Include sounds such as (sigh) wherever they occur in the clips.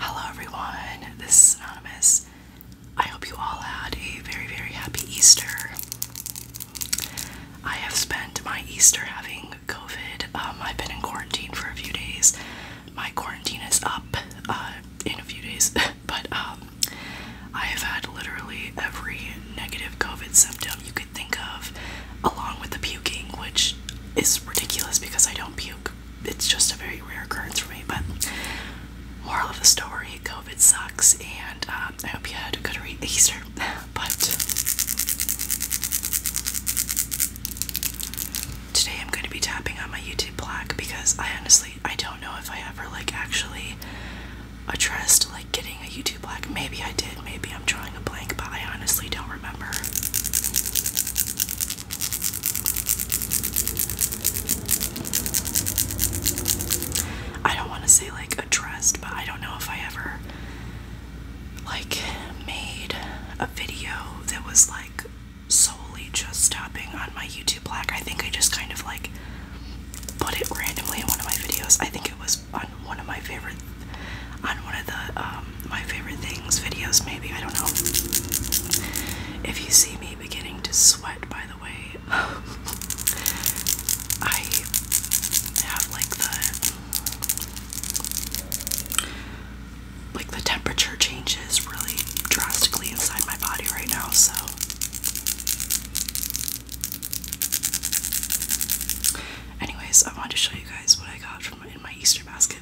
Hello, everyone. This is Anonymous. I hope you all had a very, very happy Easter. I have spent my Easter having COVID. Um, I've been in quarantine for a few days, my quarantine is up uh, in a few days, (laughs) but um, I have had literally every negative COVID symptom you could think of, along with the puking, which is ridiculous because I don't puke. It's just a very rare occurrence for me. But moral of the story: COVID sucks, and um, I hope you had a good Easter. (laughs) But today I'm going to be tapping on my YouTube Black because I honestly I don't know if I ever like actually addressed like getting a YouTube Black. Maybe I did. Maybe I'm drawing a blank, but I honestly don't remember. I don't want to say like addressed, but I don't know if I ever like made a video that was like solely just tapping on my YouTube black. I think I just kind of like put it randomly in one of my videos. I think it was on one of my favorite on one of the um, my favorite things videos maybe. I don't know. If you see me beginning to sweat by the way, (laughs) I have like the like the temperature changes really drastically inside my body right now, so anyways, I wanted to show you guys what I got from in my Easter basket.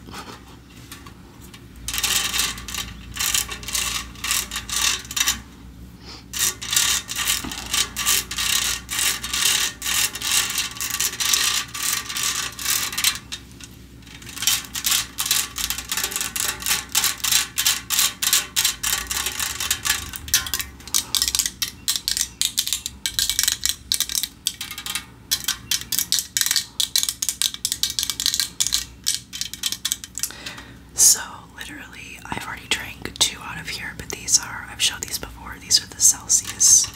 So, literally, I've already drank two out of here, but these are, I've shown these before, these are the Celsius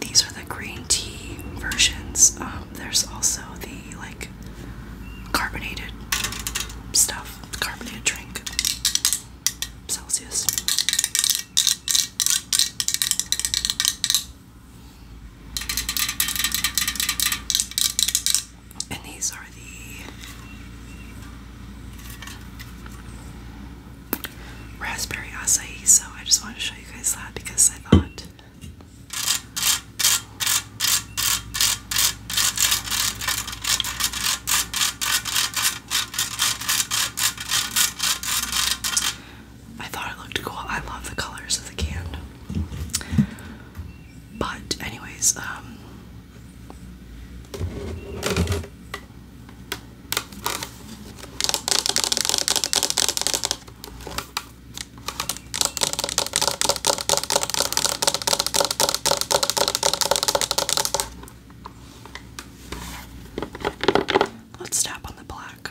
these are the green tea versions. Um, there's also the like carbonated stuff, carbonated drink. Celsius. And these are the raspberry acai, so I just wanted to show you guys that because I thought. I thought it looked cool. I love the colors of the can. But anyways, um, Let's tap on the black.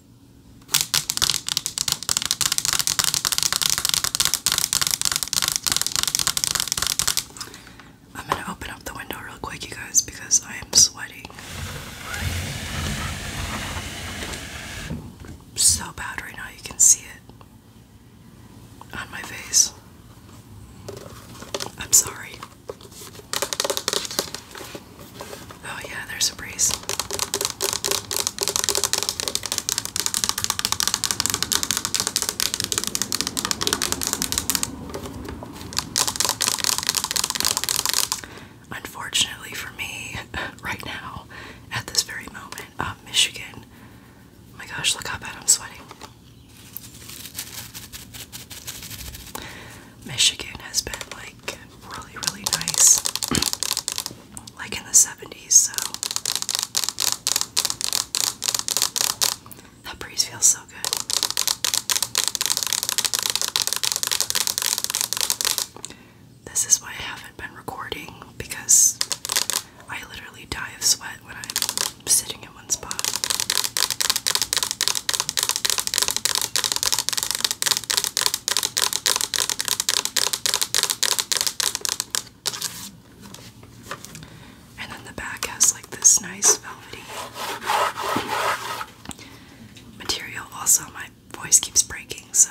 I'm gonna open up the window real quick, you guys, because I am sweating so bad right now. You can see it on my face. I'm sorry. Oh, yeah, there's a breeze. Unfortunately for me, (laughs) right now, at this very moment, um, Michigan. Oh my gosh, look how bad I'm sweating. Michigan has been like like really, really nice, (clears throat) like in the 70s. So that breeze feels so good. This is why I haven't been recording because I literally die of sweat when I'm sitting in one spot. And then the back has like this nice velvety material. Also, my voice keeps breaking, so.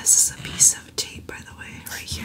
This is a piece of tape, by the way, right here.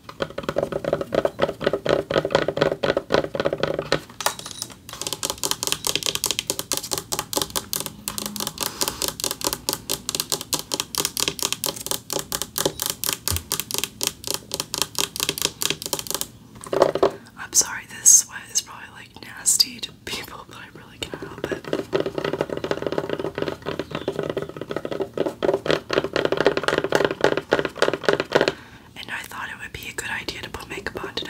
I'm sorry, this sweat is probably like nasty to people, (laughs) but I really can't help it. And I thought it would be a good idea to put makeup on today.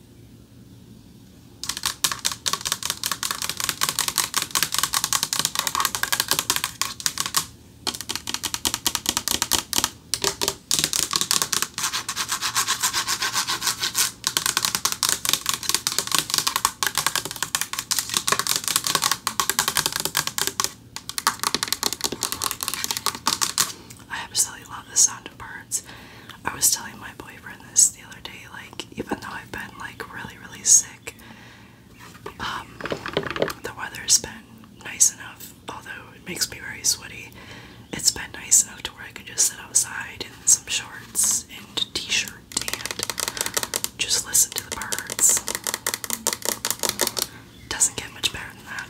I absolutely love the sound of birds. I was telling my boyfriend this the other day, like even though I've been like really really sick, um, the weather's been nice enough. Although it makes me very sweaty, it's been nice enough to where I can just sit outside in some shorts and t-shirt and just listen to the birds. Doesn't get much better than that.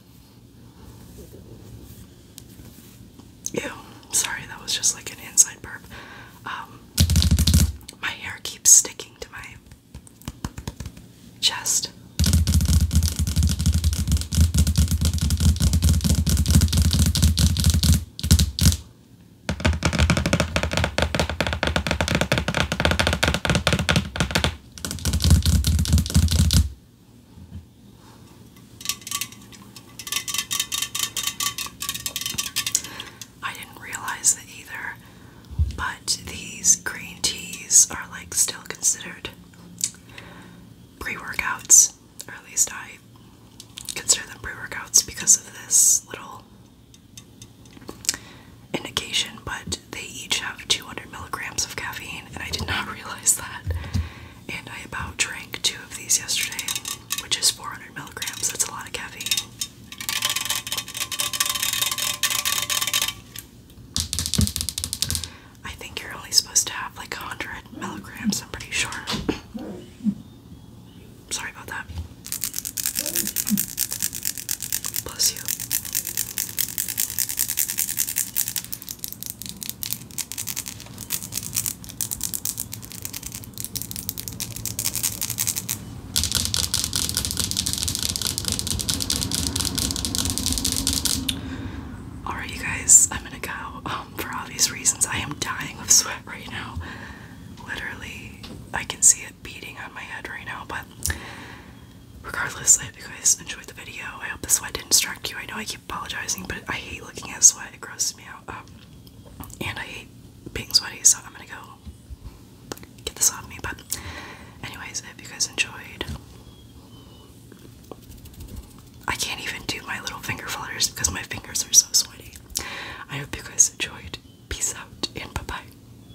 Ew, sorry, that was just like an inside burp. Um, my hair keeps sticking to my chest. I didn't realize that either, but these green teas are like still considered pre workouts, or at least I consider them pre workouts because of this little indication. But they each have 200 milligrams of caffeine, and I did not (laughs) realize that. And I about drank two of these yesterday, which is 400 milligrams. That's a lot of caffeine. I think you're only supposed to have like 100 milligrams, I'm pretty sure. Sorry about that. Bless Alright, you guys, I'm gonna go. Um, for obvious reasons, I am dying of sweat right now. Literally, I can see it beating on my head right now, but Regardless, I hope you guys enjoyed the video. I hope the sweat didn't distract you. I know I keep apologizing, but I hate looking at sweat. It grosses me out. Um, and I hate being sweaty, so I'm gonna go get this off me. But, anyways, I hope you guys enjoyed. I can't even do my little finger flutters because my fingers are so sweaty. I hope you guys enjoyed. Peace out and bye bye.